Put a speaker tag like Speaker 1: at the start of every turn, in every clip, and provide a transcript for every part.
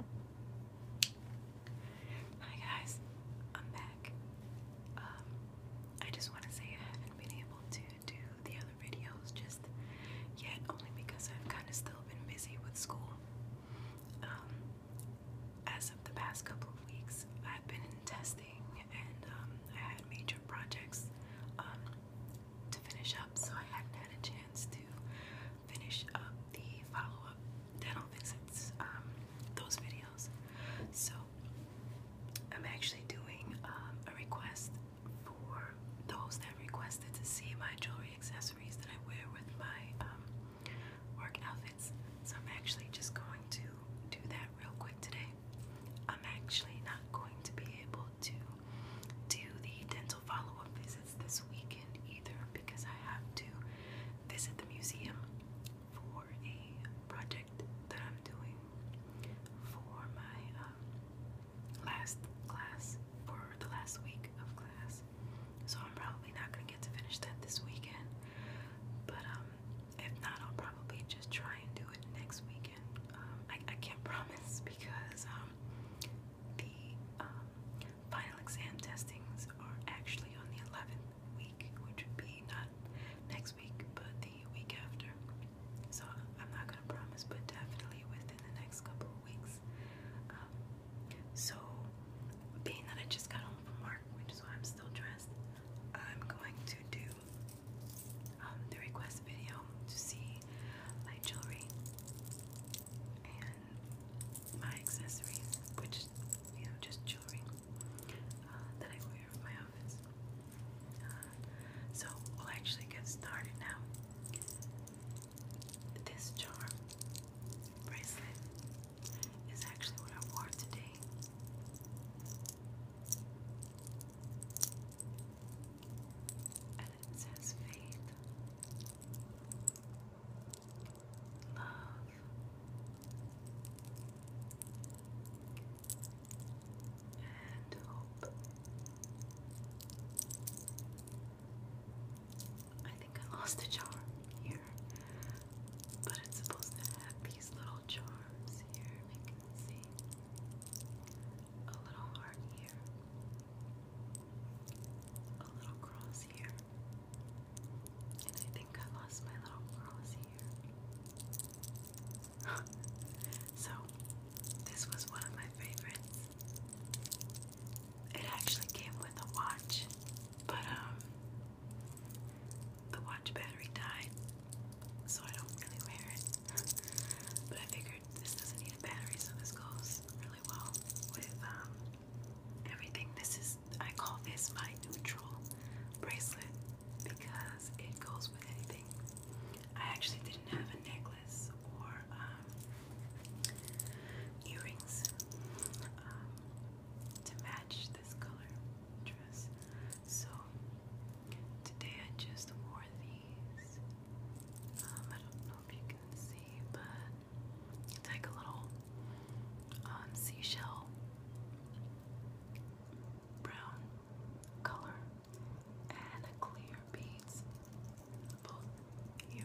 Speaker 1: Hi guys, I'm back. Um, I just want to say I haven't been able to do the other videos just yet, only because I've kind of still been busy with school. Um, as of the past couple of weeks, I've been in testing and um, I had major projects to finish up, so I hadn't had a chance to finish up the follow-up dental visits, um, those videos. So I'm actually doing um, a request for those that requested to see my jewelry accessories that I wear with my um, work outfits. So I'm actually just going to do that real quick today. I'm actually not going to be able to do the dental follow-up visits this weekend either because I have to visit the museum for a project that I'm doing for my um, last class, for the last week of class. So I'm probably not going to get to finish that this weekend. But um, if not, I'll probably just try and do it next weekend. Um, I, I can't promise because the um, final exam testings are actually on the 11th week, which would be not next week, but the week after. So I'm not going to promise, but definitely within the next couple weeks. Um, so, being that I just got home from work, which is why I'm still dressed, I'm going to do um, the request video to see my jewelry and my accessories, which you know, just jewelry uh, that I wear for my office. Uh, so we'll actually get started now. This charm bracelet is actually what I wore today. And it says faith love. And hope. I think I lost a charm here, but it's supposed to have these little charms here. We can see a little heart here, a little cross here. And I think I lost my little cross here. so, this was one of my favorites. It actually came with a watch, but um, the watch battery died, so I don't really wear it. but I figured this doesn't need a battery, so this goes really well with um, everything. This is, I call this my neutral bracelet because it goes with anything. I actually didn't have a necklace or um, earrings um, to match this color dress. So today I just wore these. Um, I don't know if you can see but like a little um, seashell brown color and clear beads both here.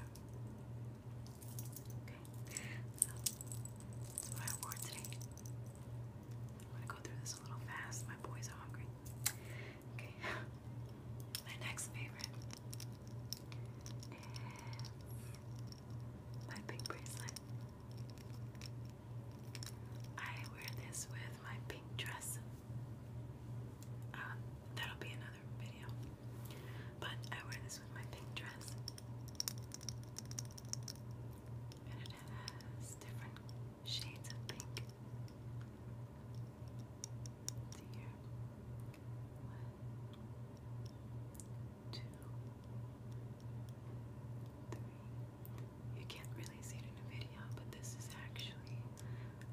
Speaker 1: Okay, that's what I wore today. I'm gonna go through this a little fast. My boys are hungry. Okay, my next favorite is my pink bracelet. I wear this with my pink dress. Um, that'll be another video. But I wear this with my pink dress. And it has different shades of pink see One, two, three. You can't really see it in a video, but this is actually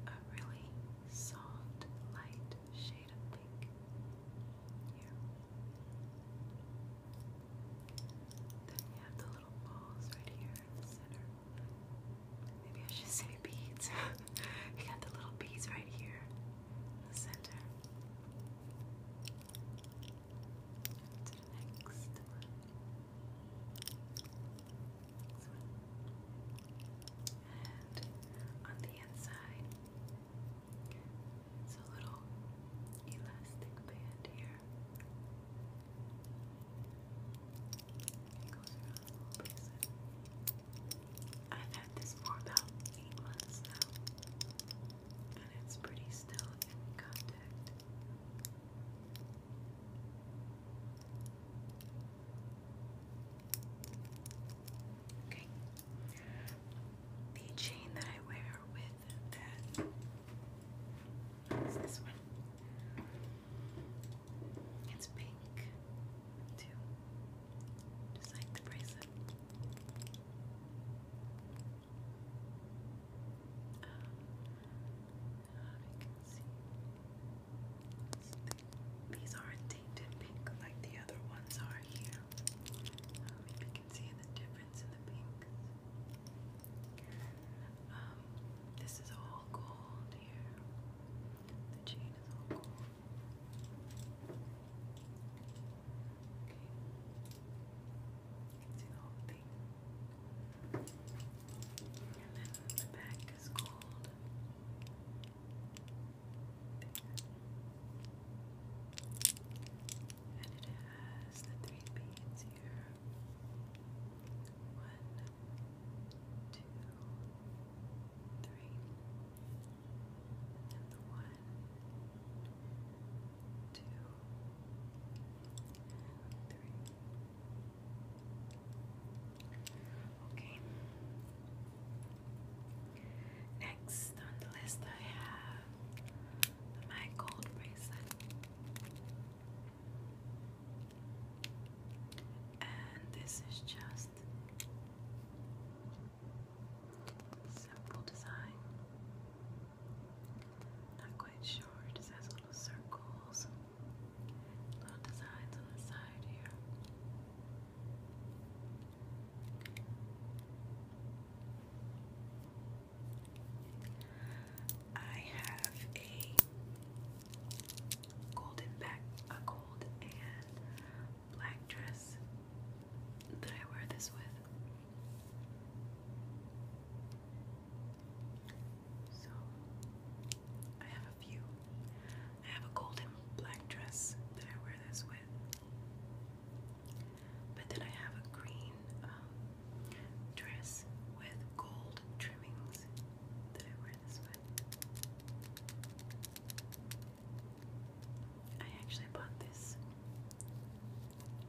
Speaker 1: a really soft, light shade of pink. Here. Then you have the little balls right here in the center. Maybe I should say beads. you got the little beads right here the center. Next one. And on the inside, it's a little elastic band here. It goes I've had this for about months now, and it's pretty still in contact. Okay. The chain that I wear with that is this one. It's pink too. Just like the bracelet. Um, you see these aren't pink like the other ones are here. Um, if see the difference in the pinks. Um, this is all gold here. The chain is all cool. Okay. You can see the whole thing. And then the back is gold. There. And it has the three beads here. One, two, three, and the one, two, three. Okay. Next on the list, I have my gold bracelet. And this is just simple design. Not quite sure. just has little circles, little designs on the side here. I have a golden back, a gold and black dress that I wear this with. So I have a few. I have a gold black dress that I wear this with. But then I have a green um, dress with gold trimmings that I wear this with. I actually bought this.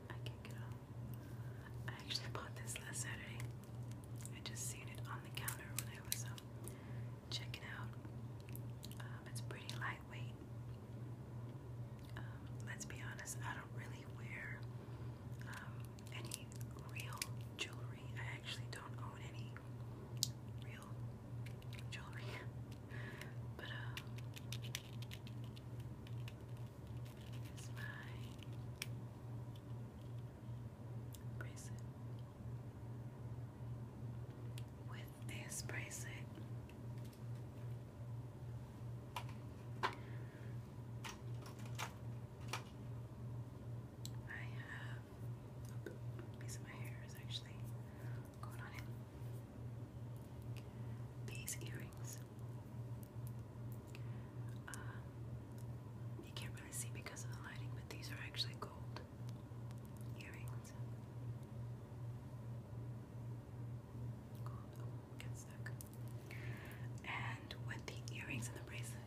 Speaker 1: I can't get off. I actually bought this last Saturday. I just seen it on the counter when I was um, checking out. Um, it's pretty lightweight. Um, let's be honest, I don't really wear um, any real jewelry. I actually don't own any real jewelry. but, uh, here's my bracelet. With this bracelet, I have piece of my hair is actually going on it. These earrings. Um, you can't really see because of the lighting, but these are actually gold earrings. Gold. Oh, get stuck and with the earrings and the bracelet.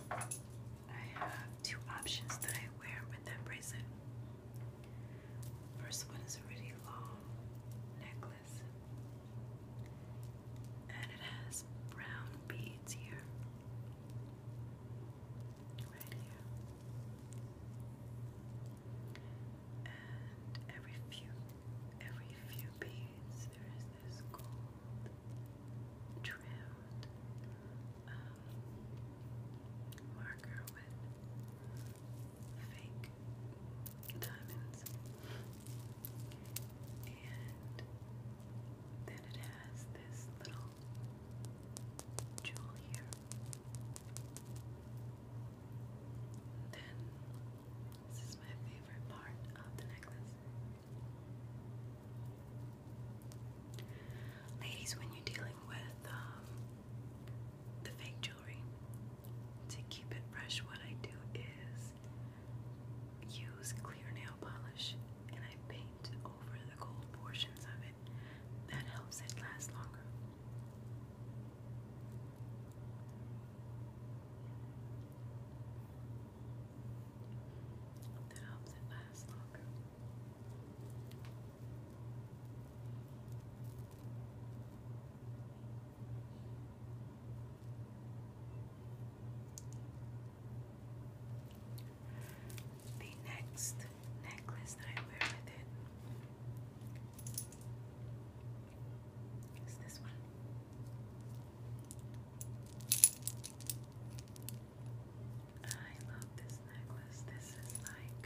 Speaker 1: I have two options that I wear with that bracelet. First one is a really long necklace, and it has brown beads here, right here, and every few every few beads there is this gold trimmed um, marker with fake diamonds and then it has this little jewel here then, this is my favorite part of the necklace. Ladies, when you're dealing with um, the fake jewelry, to keep it fresh, what I do is use clear nail polish and I paint over the gold portions of it. That helps it last longer. That helps it last longer. The next necklace that I wear with it. Is this one? I love this necklace. This is like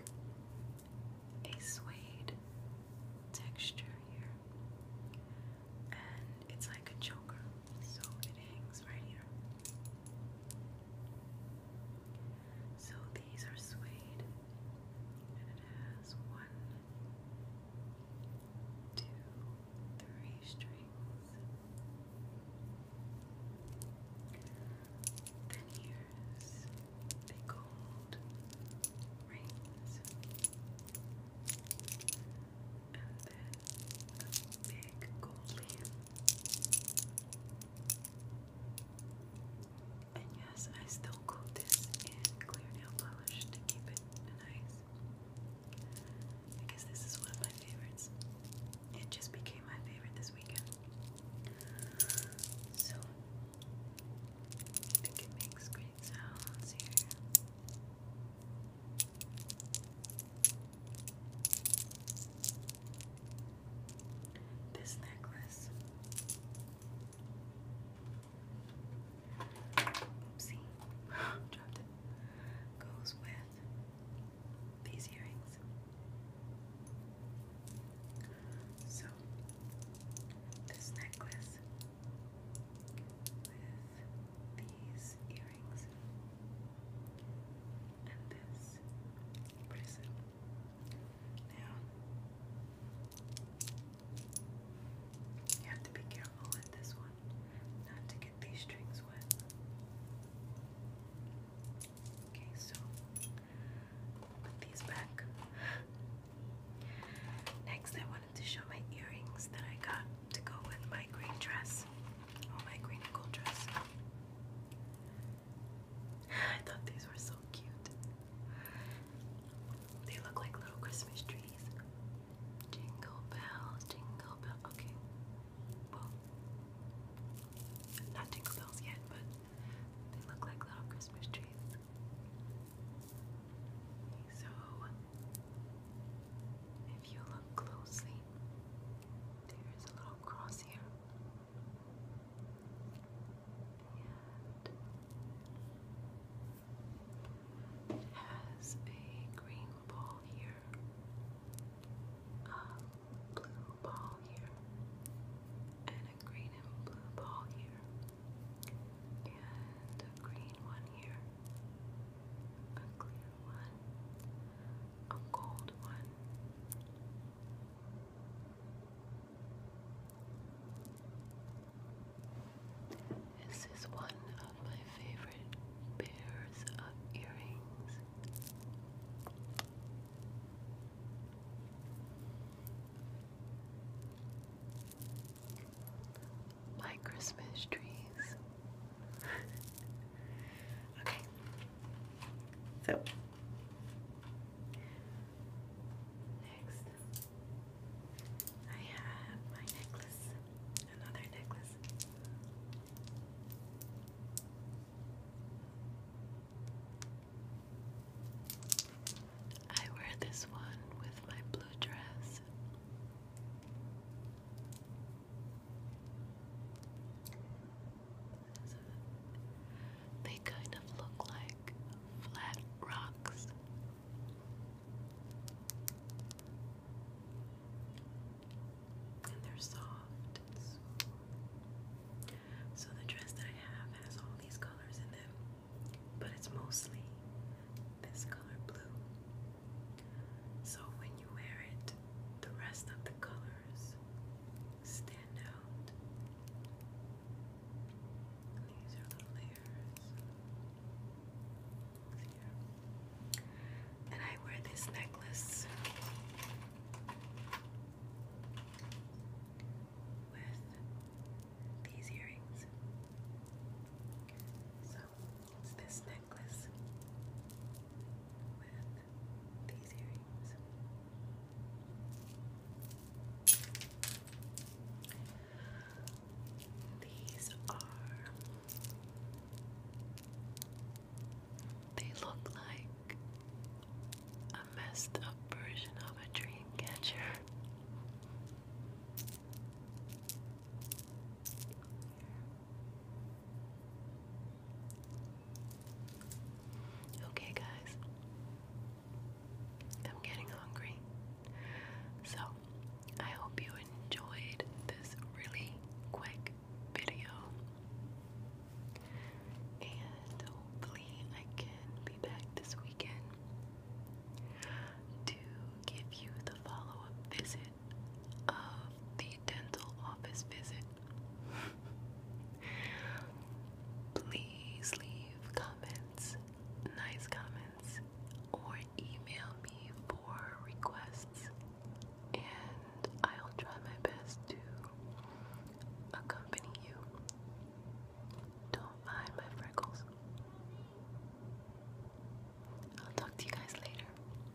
Speaker 1: a suede texture here, and it's like a choker, so it hangs right here. So these are suede, and it has one, two, three strings. Then here's the gold rings, and then big gold leaf. And yes, I still coat this in clear nail polish to keep it nice. I this is one of my favorites. It just became my favorite this weekend. So, I think it makes great sounds here this necklace. Goes with these earrings. So this necklace with these earrings and this prison you have to be careful with this one not to get these strings wet. Okay, so put these back. Next, I wanted to show my earrings that I got to go with my green dress. Oh, my green gold dress. I thought these were so cute. They look like little Christmas trees. Jingle bell, jingle bell. Okay. Well, not jingle bells yet, but they look like little Christmas trees. So, if you look closely, there's a little cross here. And it has a green ball here, a blue ball here, and a green and blue ball here, and a green one here, a clear one, a cold one. This is one of my favorite pairs of earrings. My Christmas trees. Okay. So next I have my necklace, another necklace. I wear this one with my blue dress. They kind of look like flat rocks. And they're soft So the dress that I have has all these colors in them, but it's mostly this color blue. So when you wear it, the rest of the color stand out. these are the layers And I wear this necklace with these earrings. So it's this necklace with these earrings. These are. They look like a messed up version of a dream catcher. Okay, guys, I'm getting hungry. So, I hope you enjoyed this really quick video. And hopefully, I can be back this weekend to give you the follow up visit of the dental office visit. Please leave comments, nice comments, or email me for requests, and I'll try my best to accompany you. Don't mind my freckles. I'll talk to you guys later.